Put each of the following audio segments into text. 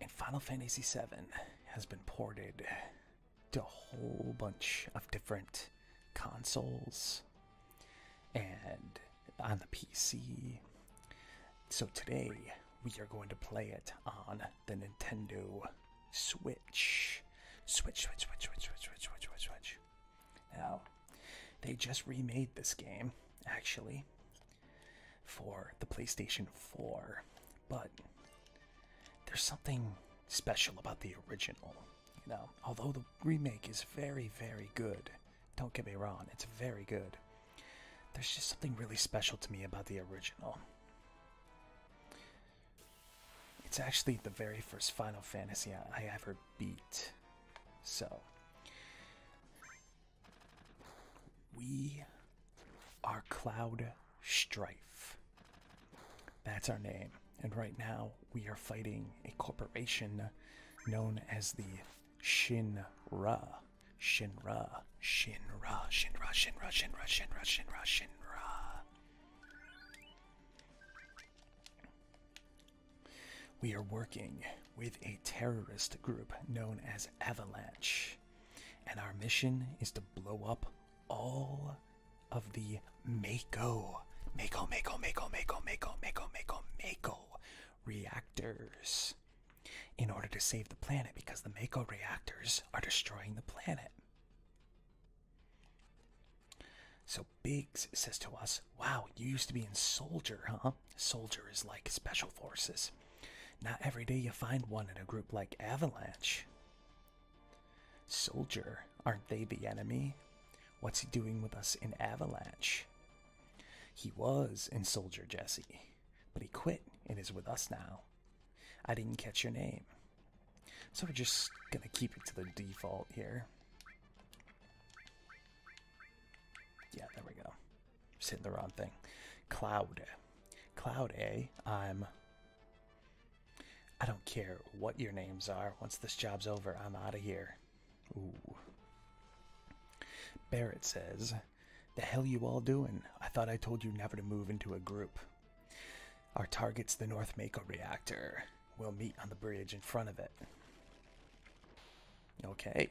And Final Fantasy VII has been ported to a whole bunch of different consoles and on the PC. So today we are going to play it on the Nintendo Switch. Switch, switch, switch, switch, switch, switch, switch, switch, switch. Now, they just remade this game, actually for the PlayStation 4, but there's something special about the original. You know, although the remake is very, very good, don't get me wrong, it's very good. There's just something really special to me about the original. It's actually the very first Final Fantasy I ever beat. So, we are Cloud Strife. That's our name. And right now, we are fighting a corporation known as the Shinra. Shinra. Shinra. Shinra. Shinra. Shinra. Shinra. Shinra. We are working with a terrorist group known as Avalanche. And our mission is to blow up all of the Mako, Mako, Mako, Mako, Mako, Mako, Mako, Mako, Mako reactors in order to save the planet because the Mako reactors are destroying the planet. So Biggs says to us, Wow, you used to be in Soldier, huh? Soldier is like Special Forces. Not every day you find one in a group like Avalanche. Soldier, aren't they the enemy? What's he doing with us in Avalanche? He was in Soldier Jesse, but he quit and is with us now. I didn't catch your name. So we're just gonna keep it to the default here. Yeah, there we go. Sitting the wrong thing. Cloud. Cloud I I'm I don't care what your names are. Once this job's over, I'm out of here. Ooh. Barrett says, The hell you all doing? I thought I told you never to move into a group. Our target's the North Mako reactor. We'll meet on the bridge in front of it. Okay.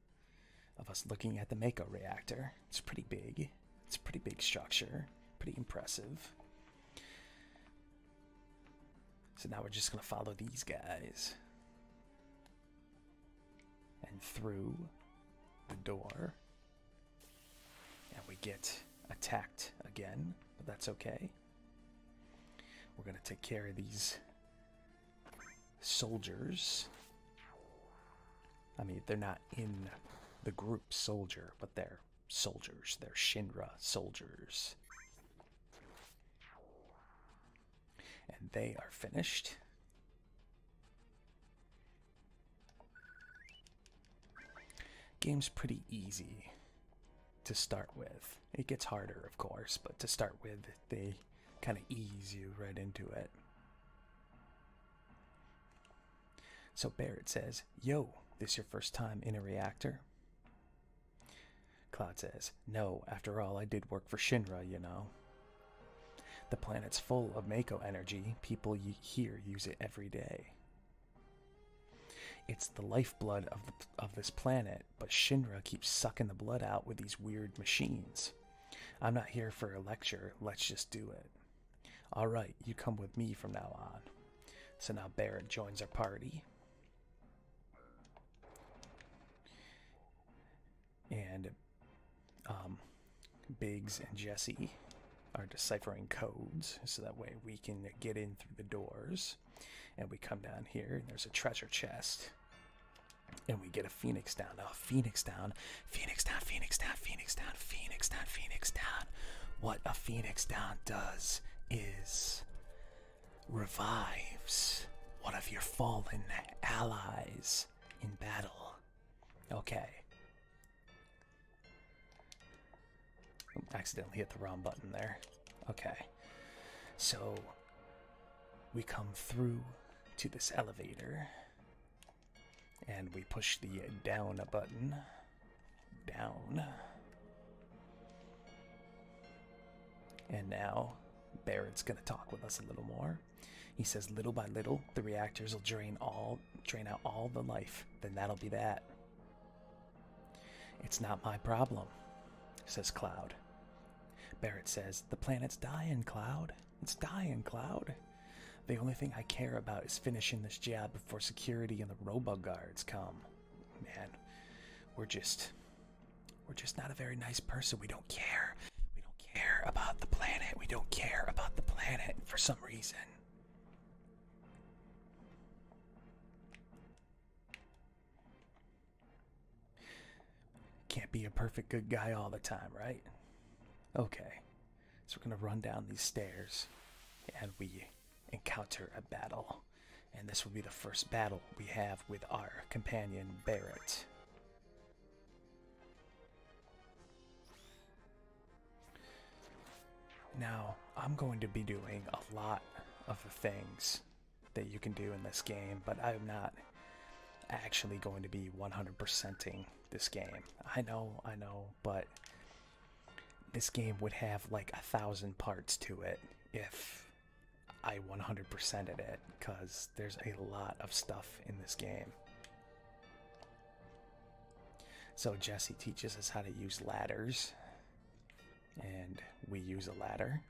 of us looking at the Mako reactor. It's pretty big. It's a pretty big structure. Pretty impressive. So now we're just going to follow these guys. And through the door. And we get attacked again, but that's okay. We're going to take care of these soldiers. I mean, they're not in the group soldier, but they're soldiers. They're Shinra soldiers. And they are finished. Game's pretty easy to start with. It gets harder, of course, but to start with, they kind of ease you right into it. So Barrett says, Yo, this your first time in a reactor? Cloud says, No, after all, I did work for Shinra, you know. The planet's full of Mako energy. People here use it every day. It's the lifeblood of, of this planet, but Shinra keeps sucking the blood out with these weird machines. I'm not here for a lecture, let's just do it. Alright, you come with me from now on. So now Barrett joins our party. And um, Biggs and Jesse are deciphering codes so that way we can get in through the doors. And we come down here, and there's a treasure chest and we get a Phoenix down. A Phoenix down. Phoenix down, Phoenix down, Phoenix down, Phoenix down, Phoenix down. What a Phoenix down does is revives one of your fallen allies in battle. Okay. Accidentally hit the wrong button there. Okay. So we come through to this elevator and we push the down a button. Down. And now Barrett's gonna talk with us a little more. He says little by little the reactors will drain all drain out all the life, then that'll be that. It's not my problem, says Cloud. Barrett says, The planet's dying, Cloud. It's dying, Cloud. The only thing I care about is finishing this job before security and the robo guards come. Man, we're just. We're just not a very nice person. We don't care. We don't care about the planet. We don't care about the planet for some reason. Can't be a perfect good guy all the time, right? Okay, so we're gonna run down these stairs and we encounter a battle. And this will be the first battle we have with our companion Barrett. Now, I'm going to be doing a lot of things that you can do in this game, but I'm not actually going to be 100%ing this game. I know, I know, but this game would have like a thousand parts to it if I 100%ed it, because there's a lot of stuff in this game. So Jesse teaches us how to use ladders, and we use a ladder.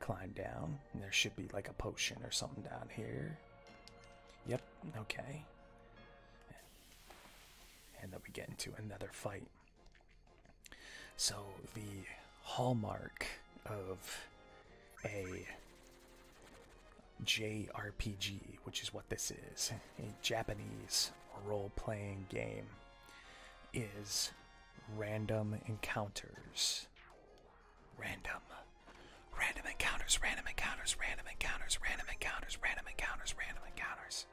Climb down. There should be like a potion or something down here. Yep, okay. And then we get into another fight. So, the hallmark of a JRPG, which is what this is, a Japanese role playing game, is random encounters. Random. Random encounters, random encounters, random encounters, random encounters, random encounters, random encounters.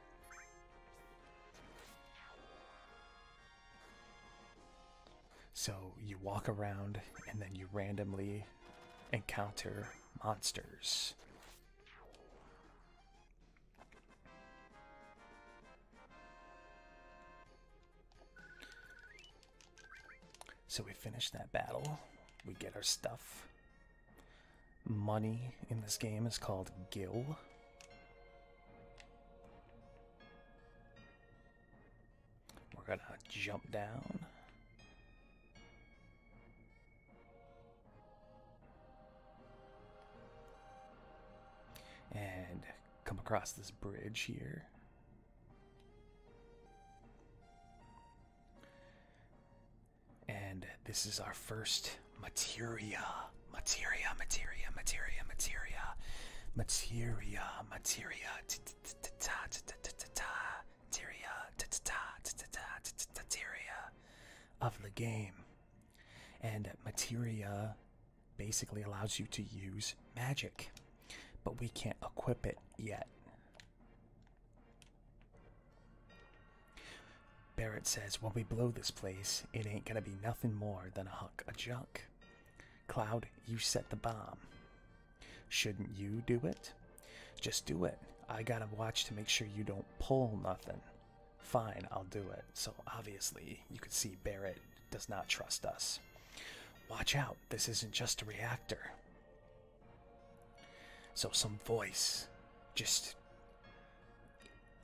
So you walk around and then you randomly encounter monsters. So we finish that battle. We get our stuff. Money in this game is called Gil. We're gonna jump down. And come across this bridge here. And this is our first materia, materia, materia, materia, materia, materia, materia, materia of the game. And materia basically allows you to use magic, but we can't equip it yet. Barrett says, when we blow this place, it ain't gonna be nothing more than a hunk of junk. Cloud, you set the bomb. Shouldn't you do it? Just do it. I gotta watch to make sure you don't pull nothing. Fine, I'll do it. So obviously, you could see Barrett does not trust us. Watch out, this isn't just a reactor. So, some voice just.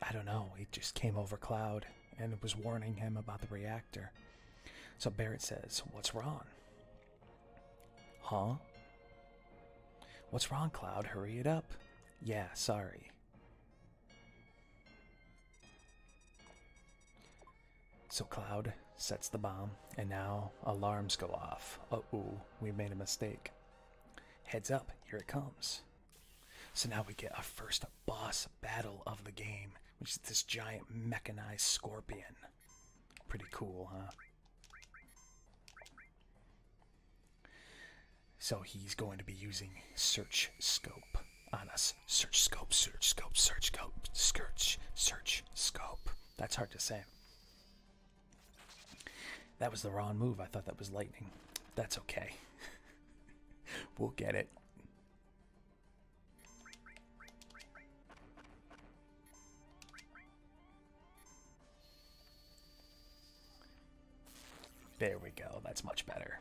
I don't know, it just came over Cloud and was warning him about the reactor. So Barrett says, What's wrong? Huh? What's wrong, Cloud? Hurry it up. Yeah, sorry. So Cloud sets the bomb, and now alarms go off. Uh oh, we made a mistake. Heads up, here it comes. So now we get our first boss battle of the game, which is this giant mechanized scorpion. Pretty cool, huh? So he's going to be using Search Scope on us. Search scope, search scope, search scope, search, search scope. That's hard to say. That was the wrong move. I thought that was lightning. That's okay. we'll get it. There we go. That's much better.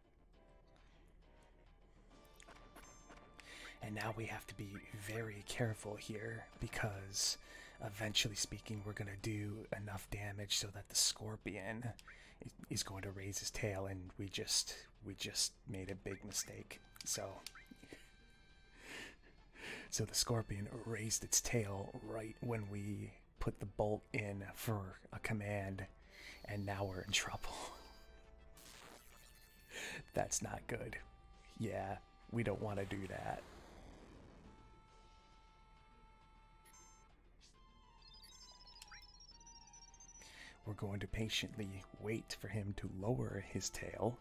And now we have to be very careful here because eventually speaking, we're going to do enough damage so that the scorpion is going to raise his tail and we just we just made a big mistake. So so the scorpion raised its tail right when we put the bolt in for a command and now we're in trouble. That's not good. Yeah, we don't want to do that. We're going to patiently wait for him to lower his tail.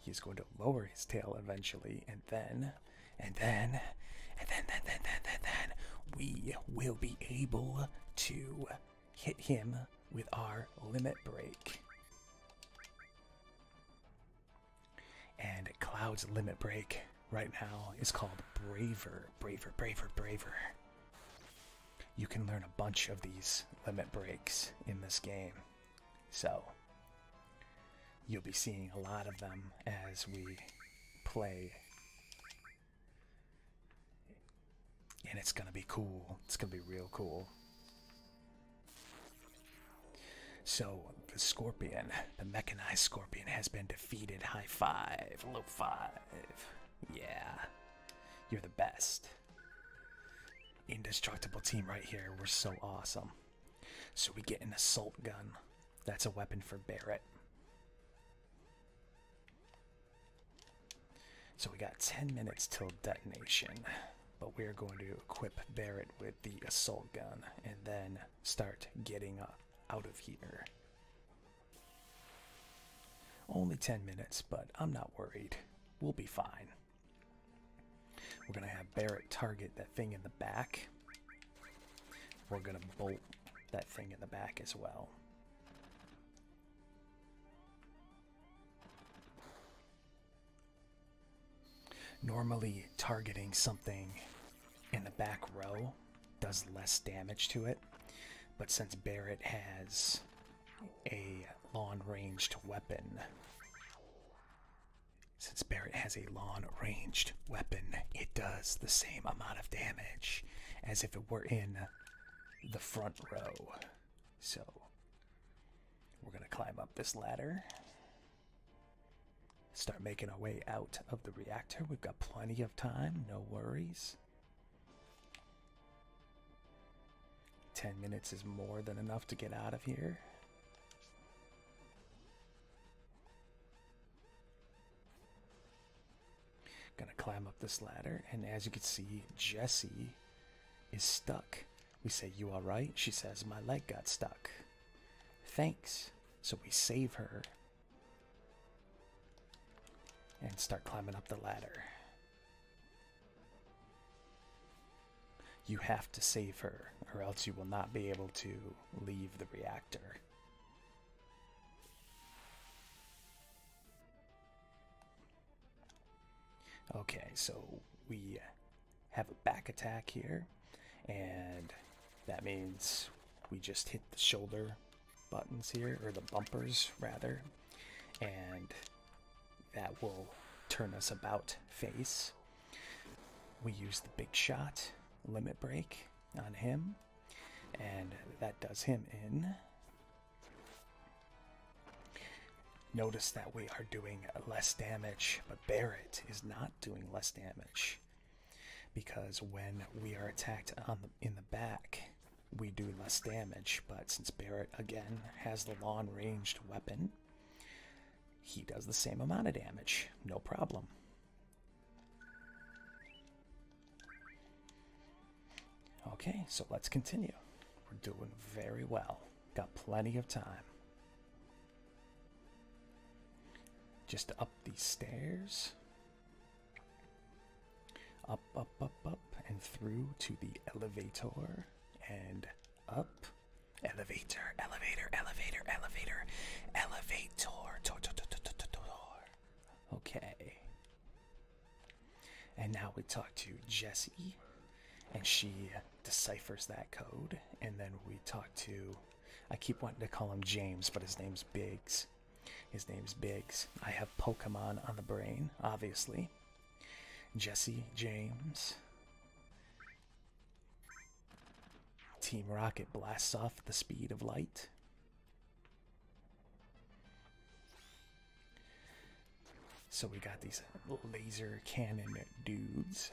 He's going to lower his tail eventually, and then, and then, and then, then, then, then, then we will be able to hit him with our limit break. And Cloud's limit break right now is called Braver. Braver, braver, braver. You can learn a bunch of these limit breaks in this game. So, you'll be seeing a lot of them as we play and it's gonna be cool. It's gonna be real cool. So, the scorpion, the mechanized scorpion, has been defeated. High five, low five. Yeah, you're the best. Indestructible team right here. We're so awesome. So, we get an assault gun. That's a weapon for Barrett. So we got 10 minutes till detonation, but we're going to equip Barrett with the assault gun and then start getting out of here. Only 10 minutes, but I'm not worried. We'll be fine. We're going to have Barrett target that thing in the back. We're going to bolt that thing in the back as well. Normally, targeting something in the back row does less damage to it, but since Barrett has a long ranged weapon, since Barrett has a long ranged weapon, it does the same amount of damage as if it were in the front row. So we're going to climb up this ladder. Start making our way out of the reactor. We've got plenty of time, no worries. 10 minutes is more than enough to get out of here. Gonna climb up this ladder, and as you can see, Jesse is stuck. We say, You alright? She says, My leg got stuck. Thanks. So we save her and start climbing up the ladder. You have to save her, or else you will not be able to leave the reactor. Okay, so we have a back attack here, and that means we just hit the shoulder buttons here, or the bumpers rather, and that will turn us about face. We use the big shot limit break on him, and that does him in Notice that we are doing less damage, but Barrett is not doing less damage because when we are attacked in the back, we do less damage. But since Barrett again has the long ranged weapon, he does the same amount of damage, no problem. Okay, so let's continue. We're doing very well. Got plenty of time. Just up these stairs. Up, up, up, up, and through to the elevator. And up. Elevator, elevator, elevator, elevator, elevator. Okay, and now we talk to Jessie, and she deciphers that code. And then we talk to, I keep wanting to call him James, but his name's Biggs. His name's Biggs. I have Pokemon on the brain, obviously. Jesse, James. Team Rocket blasts off at the speed of light. So we got these laser cannon dudes,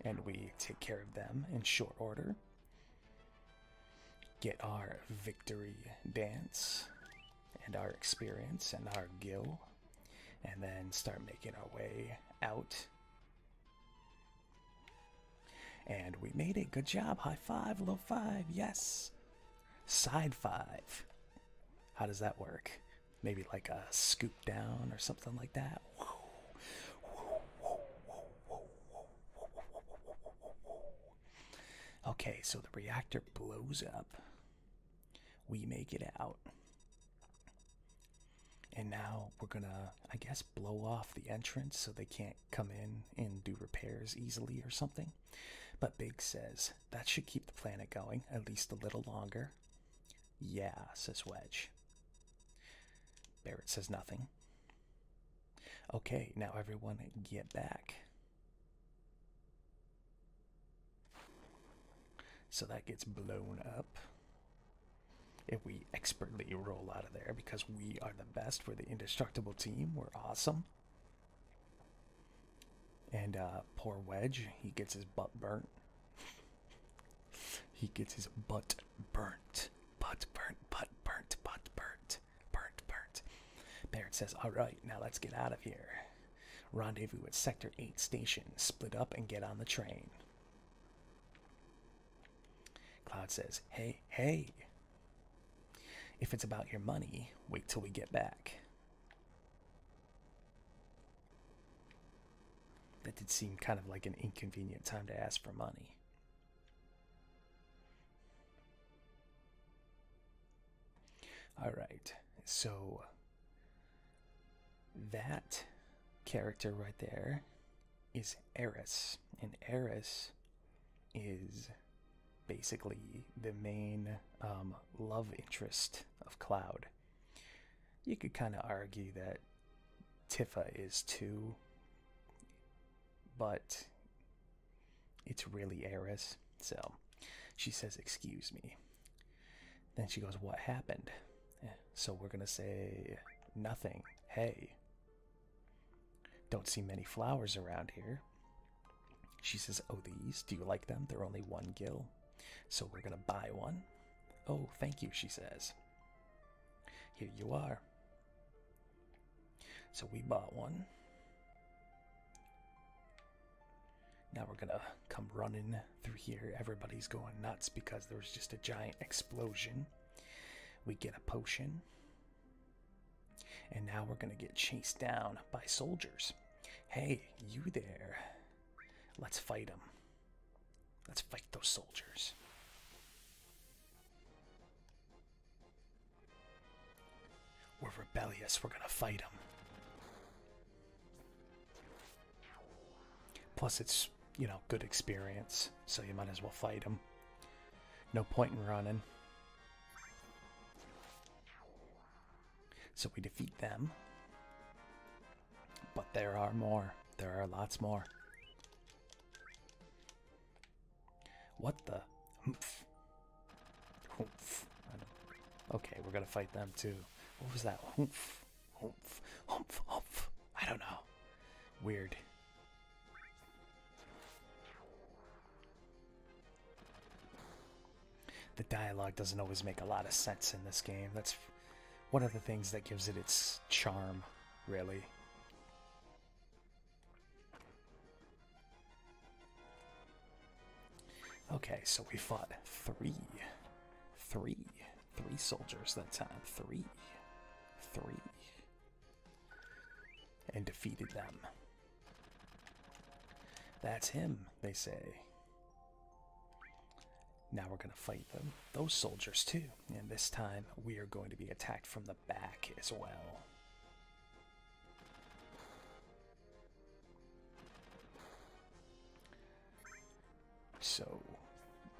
and we take care of them in short order. Get our victory dance, and our experience, and our gill, and then start making our way out. And we made it. Good job. High five, low five. Yes. Side five. How does that work? Maybe like a scoop down or something like that. Okay, so the reactor blows up. We make it out. And now we're gonna, I guess, blow off the entrance so they can't come in and do repairs easily or something. But Big says, that should keep the planet going, at least a little longer. Yeah, says Wedge. Barrett says nothing. Okay, now everyone get back. So that gets blown up. If we expertly roll out of there because we are the best, for the indestructible team, we're awesome. And uh, poor Wedge, he gets his butt burnt. he gets his butt burnt. Butt burnt, butt burnt, butt burnt, burnt, burnt. Barrett says, All right, now let's get out of here. Rendezvous at Sector 8 Station. Split up and get on the train. Cloud says, Hey, hey, if it's about your money, wait till we get back. That did seem kind of like an inconvenient time to ask for money. All right, so that character right there is Eris, and Eris is basically the main um, love interest of Cloud. You could kind of argue that Tifa is too, but it's really Eris. So she says, Excuse me. Then she goes, What happened? Eh, so we're going to say, Nothing. Hey. Don't see many flowers around here. She says, Oh, these? Do you like them? They're only one gill. So we're gonna buy one. Oh, thank you, she says. Here you are. So we bought one. Now we're gonna come running through here. Everybody's going nuts because there was just a giant explosion. We get a potion. And now we're going to get chased down by soldiers. Hey, you there. Let's fight them. Let's fight those soldiers. We're rebellious. We're going to fight them. Plus, it's, you know, good experience, so you might as well fight them. No point in running. So we defeat them. But there are more. There are lots more. What the? Oomph. Okay, we're gonna fight them too. What was that? Oomph. I don't know. Weird. The dialogue doesn't always make a lot of sense in this game. That's one of the things that gives it its charm, really. Okay, so we fought three, three, three soldiers that time. Three. Three. And defeated them. That's him, they say. Now we're going to fight them, those soldiers too, and this time we are going to be attacked from the back as well. So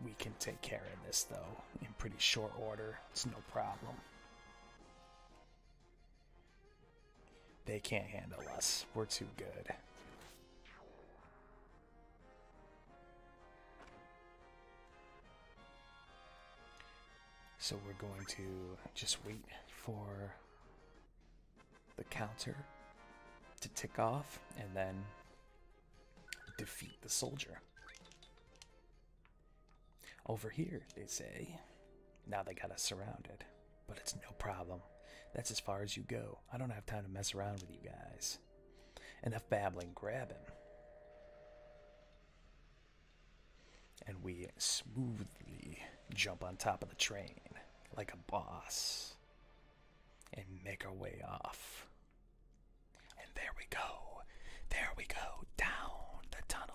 we can take care of this though in pretty short order, it's no problem. They can't handle us. We're too good. So we're going to just wait for the counter to tick off and then defeat the soldier. Over here, they say. Now they got us surrounded but it's no problem. That's as far as you go. I don't have time to mess around with you guys. Enough babbling, grab him. And we smoothly jump on top of the train like a boss and make our way off. And there we go. There we go. Down the tunnel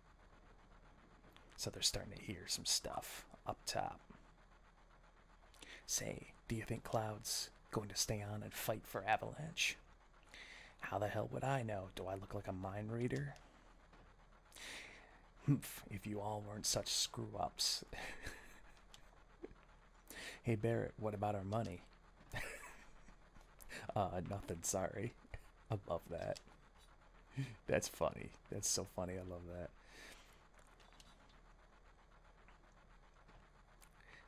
So they're starting to hear some stuff up top. Say, do you think Cloud's going to stay on and fight for Avalanche? How the hell would I know? Do I look like a mind reader? Humph, if you all weren't such screw ups. hey Barrett, what about our money? uh, nothing, sorry. Above that. That's funny. That's so funny. I love that.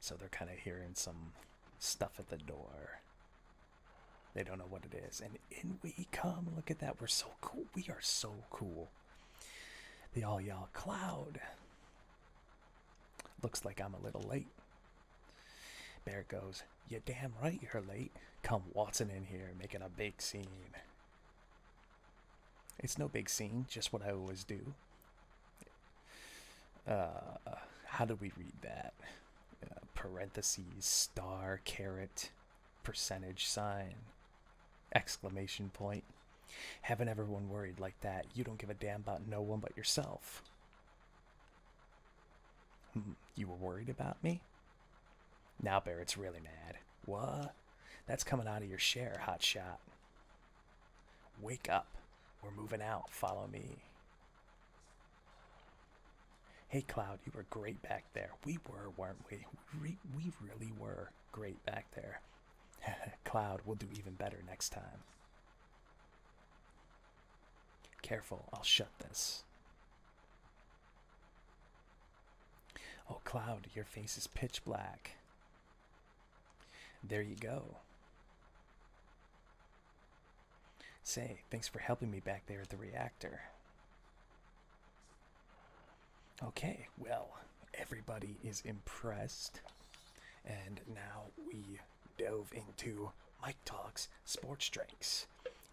So they're kind of hearing some stuff at the door. They don't know what it is. And in we come. Look at that. We're so cool. We are so cool. The all y'all cloud. Looks like I'm a little late. There it goes. You're damn right you're late. Come Watson in here making a big scene. It's no big scene, just what I always do. Uh, how do we read that? Uh, parentheses, star, caret, percentage sign, exclamation point. Haven't everyone worried like that, you don't give a damn about no one but yourself. Hmm, you were worried about me? Now Barrett's really mad. What? That's coming out of your share, hot shot. Wake up. We're moving out. Follow me. Hey, Cloud, you were great back there. We were, weren't we? We, we really were great back there. Cloud, we'll do even better next time. Careful, I'll shut this. Oh, Cloud, your face is pitch black. There you go. Say, thanks for helping me back there at the reactor. Okay, well, everybody is impressed. And now we delve into Mike Talks Sports Drinks.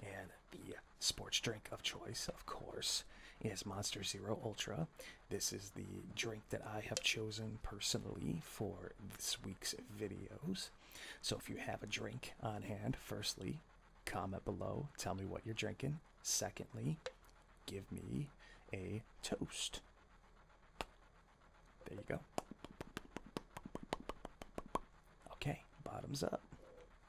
And the sports drink of choice, of course, is Monster Zero Ultra. This is the drink that I have chosen personally for this week's videos. So if you have a drink on hand, firstly, comment below, tell me what you're drinking. Secondly, give me a toast. There you go. Okay, bottoms up.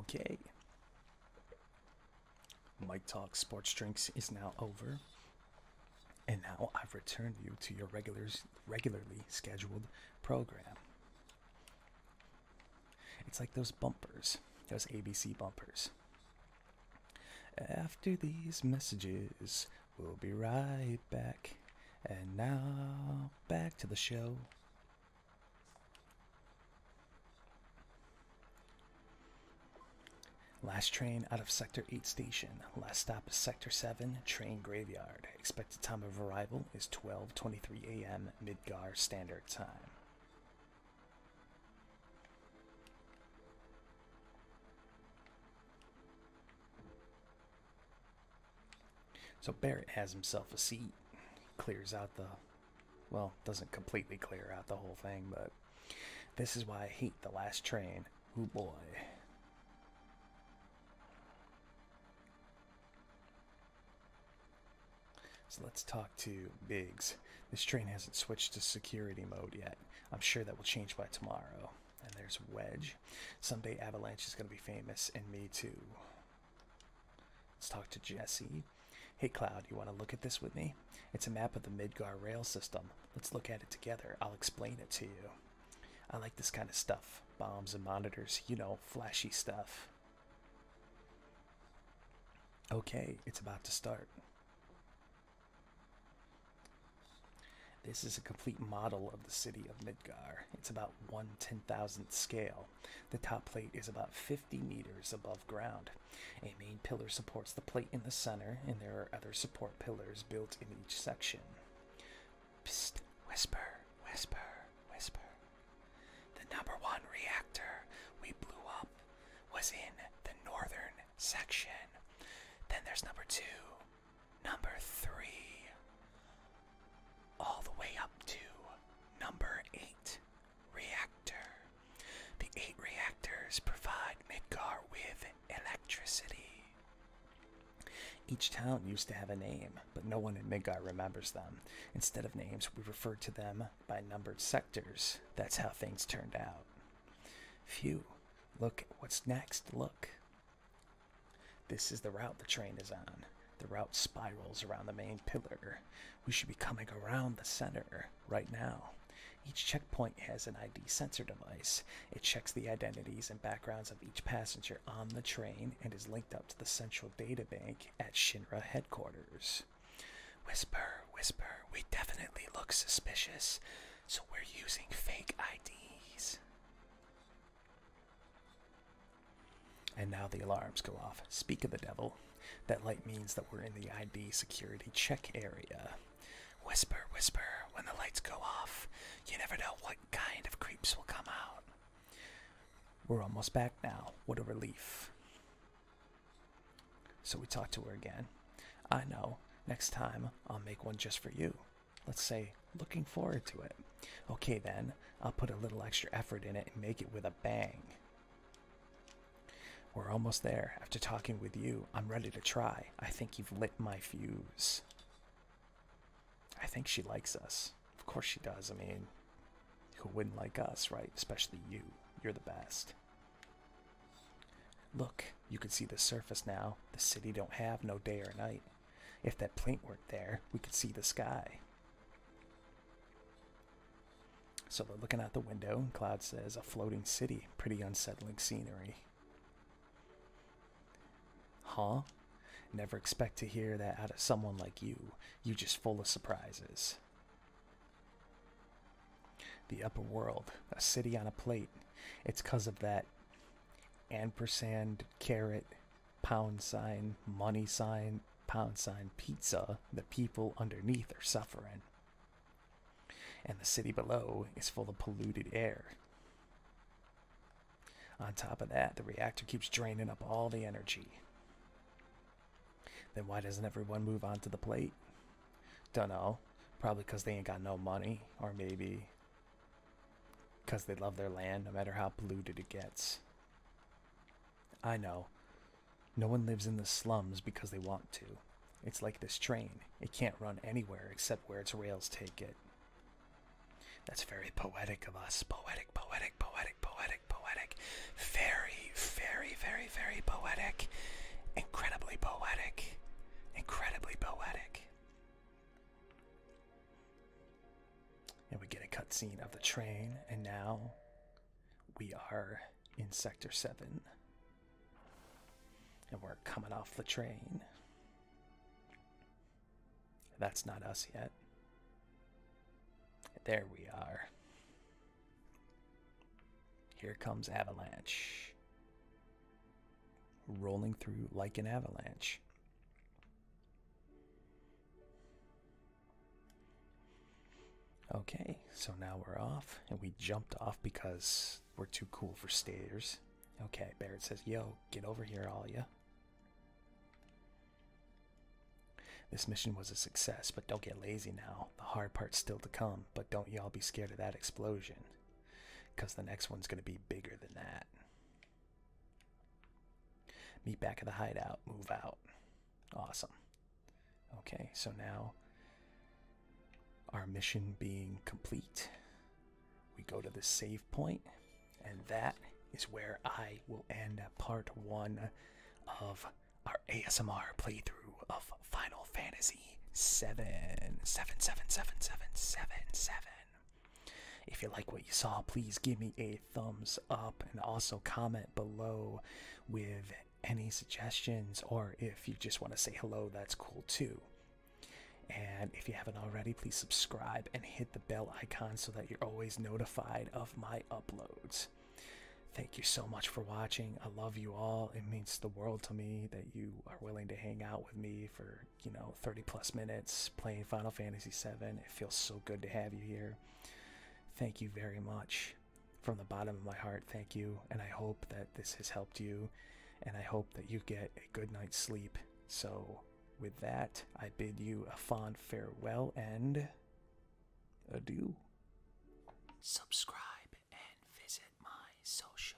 Okay. Mike Talk Sports Drinks is now over. And now I've returned you to your regulars regularly scheduled program. It's like those bumpers, those ABC bumpers. After these messages, we'll be right back. And now, back to the show. Last train out of Sector 8 station. Last stop is Sector 7, train graveyard. Expected time of arrival is 12.23 a.m. Midgar Standard Time. So Barrett has himself a seat. Clears out the, well, doesn't completely clear out the whole thing, but this is why I hate the last train. Oh boy. So let's talk to Biggs. This train hasn't switched to security mode yet. I'm sure that will change by tomorrow. And there's Wedge. Someday Avalanche is going to be famous, and me too. Let's talk to Jesse. Hey Cloud, you want to look at this with me? It's a map of the Midgar rail system. Let's look at it together. I'll explain it to you. I like this kind of stuff. Bombs and monitors, you know, flashy stuff. Okay, it's about to start. This is a complete model of the city of it's about one ten thousandth scale. The top plate is about 50 meters above ground. A main pillar supports the plate in the center, and there are other support pillars built in each section. whisper, whisper, whisper. The number one reactor we blew up was in the northern section. Then there's number two, number three, all the way up to number eight reactor. The eight reactors provide Midgar with electricity. Each town used to have a name, but no one in Midgar remembers them. Instead of names, we refer to them by numbered sectors. That's how things turned out. Phew, look, what's next? Look. This is the route the train is on. The route spirals around the main pillar. We should be coming around the center right now. Each checkpoint has an ID sensor device. It checks the identities and backgrounds of each passenger on the train and is linked up to the central data bank at Shinra headquarters. Whisper, whisper, we definitely look suspicious, so we're using fake IDs. And now the alarms go off. Speak of the devil. That light means that we're in the ID security check area. Whisper, whisper, when the lights go off. You never know what kind of creeps will come out. We're almost back now. What a relief. So we talk to her again. I know. Next time, I'll make one just for you. Let's say Looking forward to it. Okay, then, I'll put a little extra effort in it and make it with a bang. We're almost there. After talking with you, I'm ready to try. I think you've lit my fuse. I think she likes us. Of course she does. I mean, who wouldn't like us, right? Especially you. You're the best. Look, you can see the surface now. The city don't have no day or night. If that plate weren't there, we could see the sky. So they're looking out the window, and Cloud says, A floating city, pretty unsettling scenery. Huh? Never expect to hear that out of someone like you. You just full of surprises. The upper world, a city on a plate. 'cause of that ampersand, carrot, pound sign, money sign, pound sign, pizza, the people underneath are suffering. And the city below is full of polluted air. On top of that, the reactor keeps draining up all the energy. Then why doesn't everyone move onto the plate? Dunno. Probably because they ain't got no money, or maybe because they love their land no matter how polluted it gets. I know. No one lives in the slums because they want to. It's like this train. It can't run anywhere except where its rails take it. That's very poetic of us. Poetic, poetic, poetic, poetic, poetic. Very, very, very, very poetic. Incredibly poetic. Incredibly poetic. And we get a cutscene of the train, and now we are in Sector 7. And we're coming off the train. That's not us yet. There we are. Here comes Avalanche. Rolling through like an avalanche. Okay, so now we're off, and we jumped off because we're too cool for stairs. Okay, Barrett says, Yo, get over here, all ya. This mission was a success, but don't get lazy now. The hard part's still to come, but don't y'all be scared of that explosion. Because the next one's going to be bigger than that. Meet back at the hideout. Move out. Awesome. Okay, so now our mission being complete, we go to the save point, and that is where I will end part one of our ASMR playthrough of Final Fantasy 7. 7, 7, 7, 7, 7, 7. If you like what you saw, please give me a thumbs up and also comment below with any suggestions, or if you just want to say hello, that's cool too. And if you haven't already, please subscribe and hit the bell icon so that you're always notified of my uploads. Thank you so much for watching. I love you all. It means the world to me that you are willing to hang out with me for, you know, 30 plus minutes playing Final Fantasy VII. It feels so good to have you here. Thank you very much. From the bottom of my heart, thank you, and I hope that this has helped you, and I hope that you get a good night's sleep. So, with that, I bid you a fond farewell and adieu. Subscribe and visit my social.